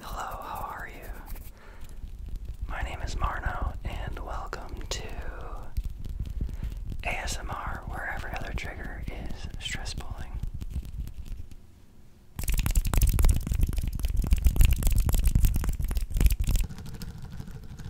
Hello, how are you? My name is Marno, and welcome to ASMR, where every other trigger is stress pulling.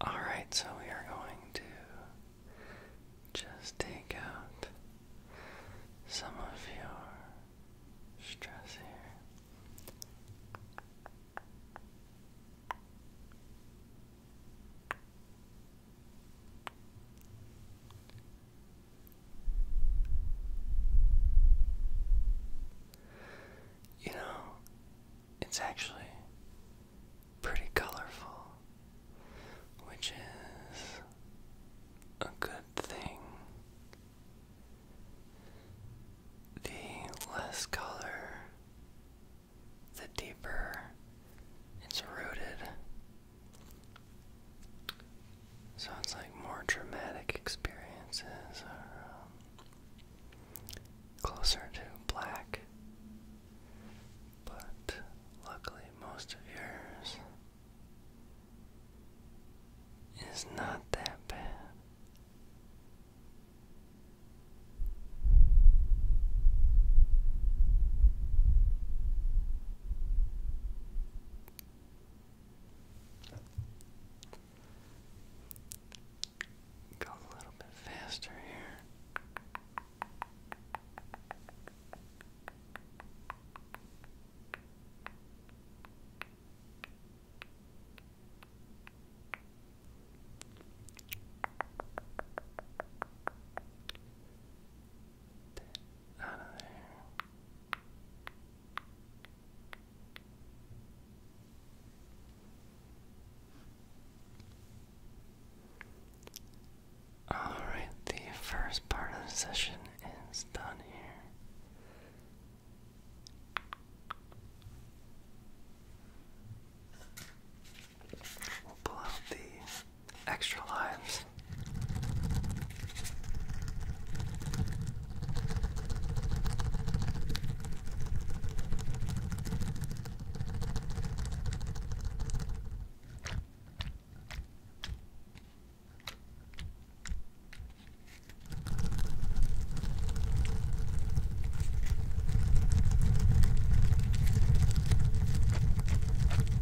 All right, so we are going to just take out some of your stress here. You know, it's actually pretty colorful, which is a good thing. The less color, the deeper it's rooted Sounds like more dramatic experiences are um, closer to black, but luckily, most of yours is not that bad. Go a little bit faster here. Alright, the first part of the session is done here. We'll pull out the extra lives.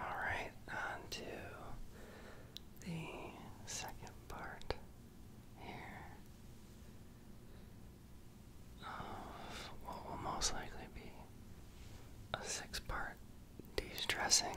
All right, on to the second part here of what will most likely be a six part de stressing.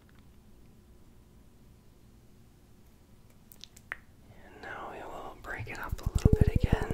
And now we will break it up a little bit again.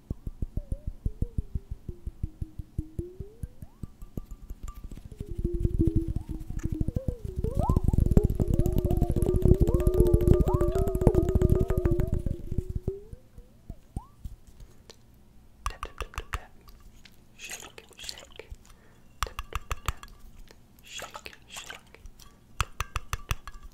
Tap tap tap tap tap. Shake, shake. Tap tap tap tap. Shake, shake. Tap tap tap tap.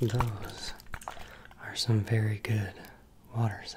Those are some very good water sounds.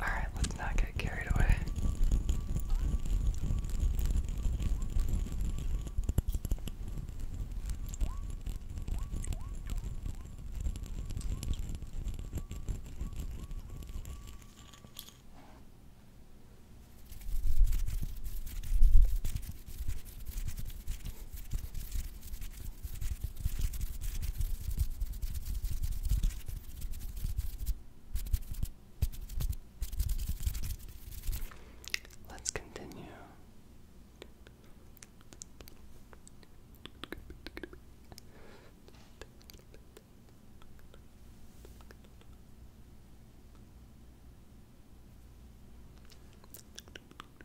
Alright, let's not get carried away. Let's continue.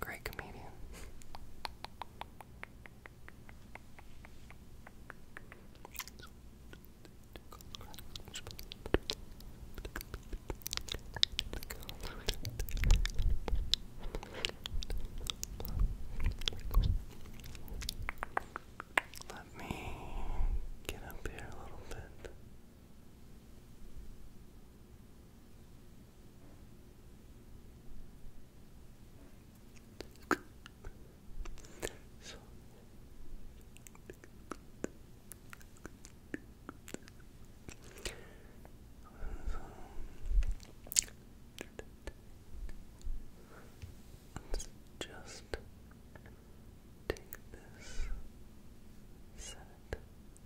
Great comedian. Let me get up here a little bit. So. Let's just take this set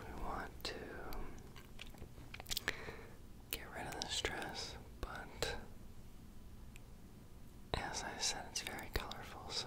we want to get rid of the stress, but as I said, it's very colorful, so.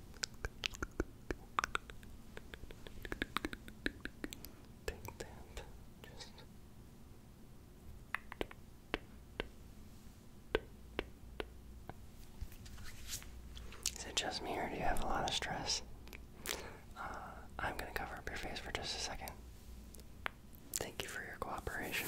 Is it just me, or do you have a lot of stress? Uh, I'm gonna cover up your face for just a second. Thank you for your cooperation.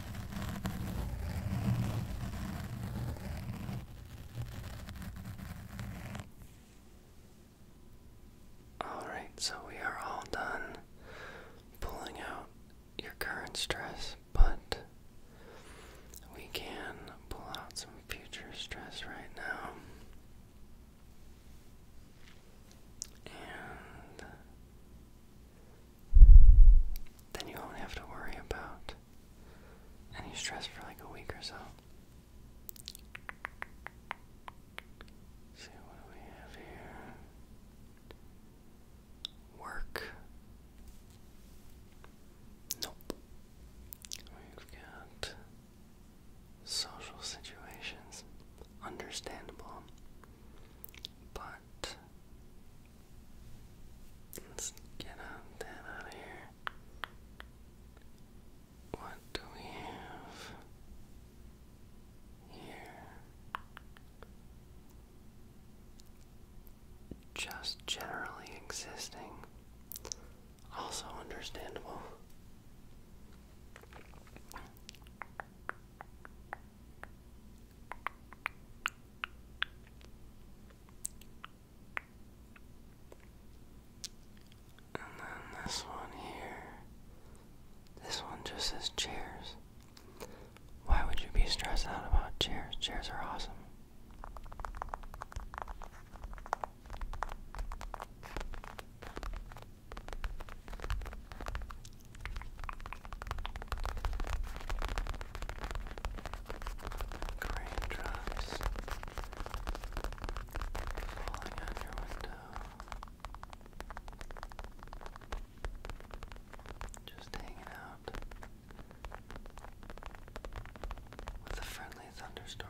Alright, so we are all done pulling out your current stress, but we can pull out some future stress right now. And then you won't have to worry about any stress for like a week or so. see what do we have here? Work. Nope. We've got social situations. Understandable. Apply Let's get out that out of here. What do we have here? Just generally existing. Also understandable. And then this one here. This one just says chairs. Why would you be stressed out about chairs? Chairs are awesome. Raindrops falling on your window. Just hanging out with a friendly thunderstorm.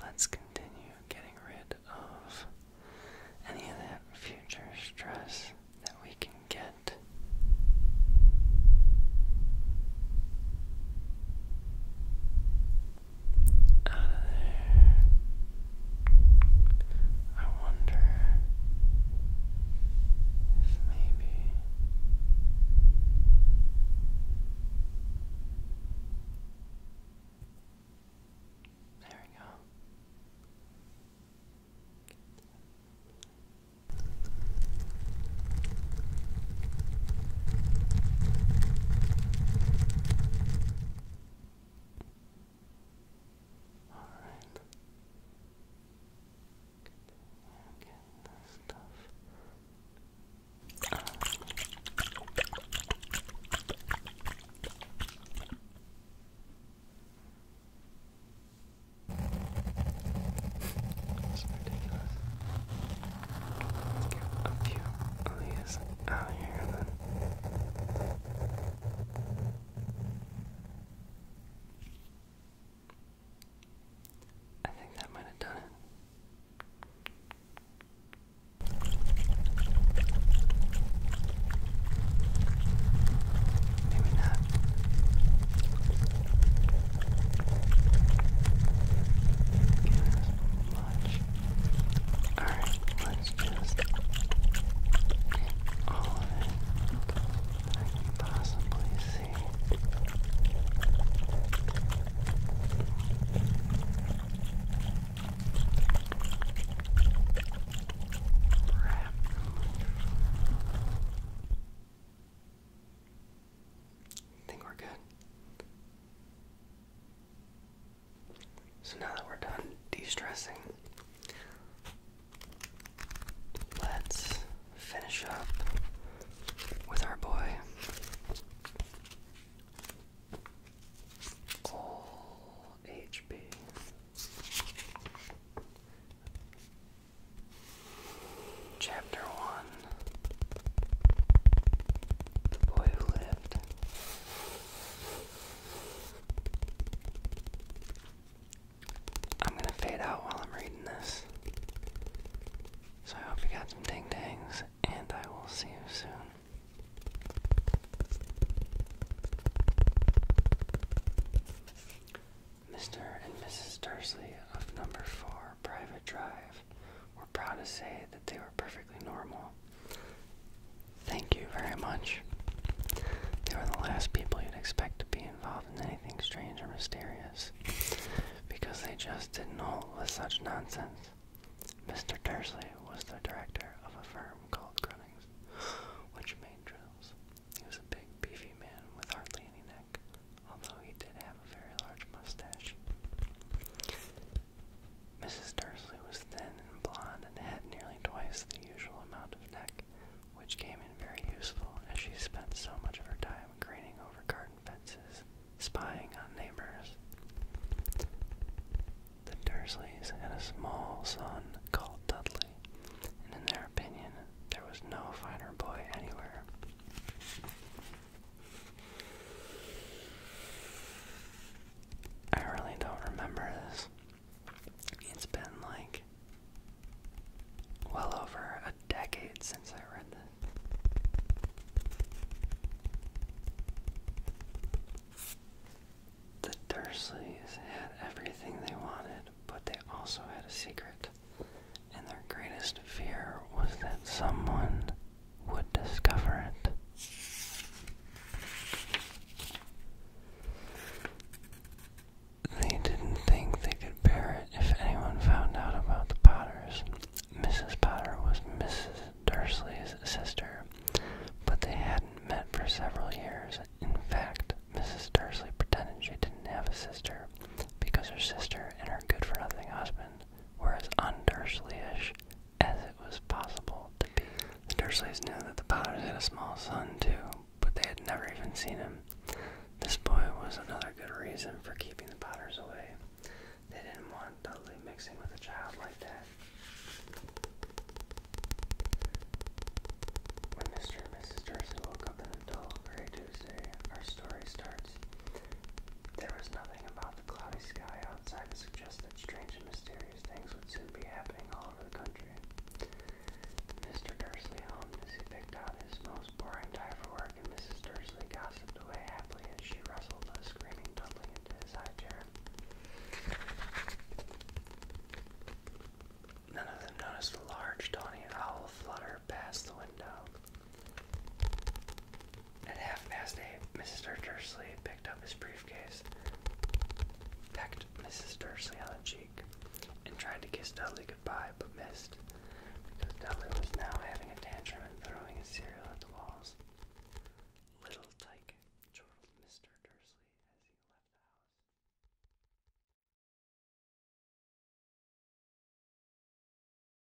Let's continue getting rid of any of that future stress that we can get. Out of there. I wonder if maybe there we go. All right. Get this stuff. Uh. That's ridiculous. Let's get out here I think that might have done it. Maybe not much. Alright, let's just get all of I can possibly see. Wrap. I think we're good. So now that we're done de-stressing, let's finish up with our boy. All HB. Chapter 1 The Boy Who Lived. I'm going to fade out while I'm reading this. So I hope you got some ding dangs, and I will see you soon. Mr. and Mrs. Dursley of Number 4 Private Drive we're proud to say that they were perfectly normal. Thank you very much. They were the last people you'd expect to be involved in anything strange or mysterious because they just didn't hold with such nonsense. Mr. Dursley was the director of a firm called Grunnings, which made drills. He was a big, beefy man with hardly any neck, although he did have a very large mustache. Mrs. Dursley was thin and blonde and had nearly twice the usual amount of neck, which came in very useful as she spent so much of her time craning over garden fences, spying on neighbors. The Dursleys had a small son called Dudley, and in their opinion, there was no finer boy anywhere. I really don't remember this. It's been like well over a decade since I read this. The Dursleys had everything they wanted, but they also had a secret and their greatest fear was that someone would discover it. They didn't think they could bear it if anyone found out about the Potters. Mrs. Potter was Mrs. Dursley's sister, but they hadn't met for several years. In fact, Mrs. Dursley pretended she didn't have a sister because her sister and her good for nothing husband were as Undersleyish as it was possible to be. The Dursleys knew that the Potters had a small son, too, but they had never even seen him. This boy was another good reason for keeping the Potters away. They didn't want Dudley mixing with a child like that. When Mr. and Mrs. Dursley woke up in a dull, gray Tuesday, our story starts. There was nothing about the cloudy sky outside suggested strange and mysterious things would soon be happening all over the country. Mr. Dursley hummed as he picked out his most boring tie for work, and Mrs. Dursley gossiped away happily as she wrestled the screaming dumpling into his high chair. None of them noticed the large, tawny owl flutter past the window. At half past eight, Mr. Dursley picked up his briefcase, pecked Mrs. Dursley on the cheek, and tried to kiss Dudley goodbye, but missed, because Dudley was now having a tantrum and throwing his cereal at the walls. Little Tyke chortled Mr. Dursley as he left the house.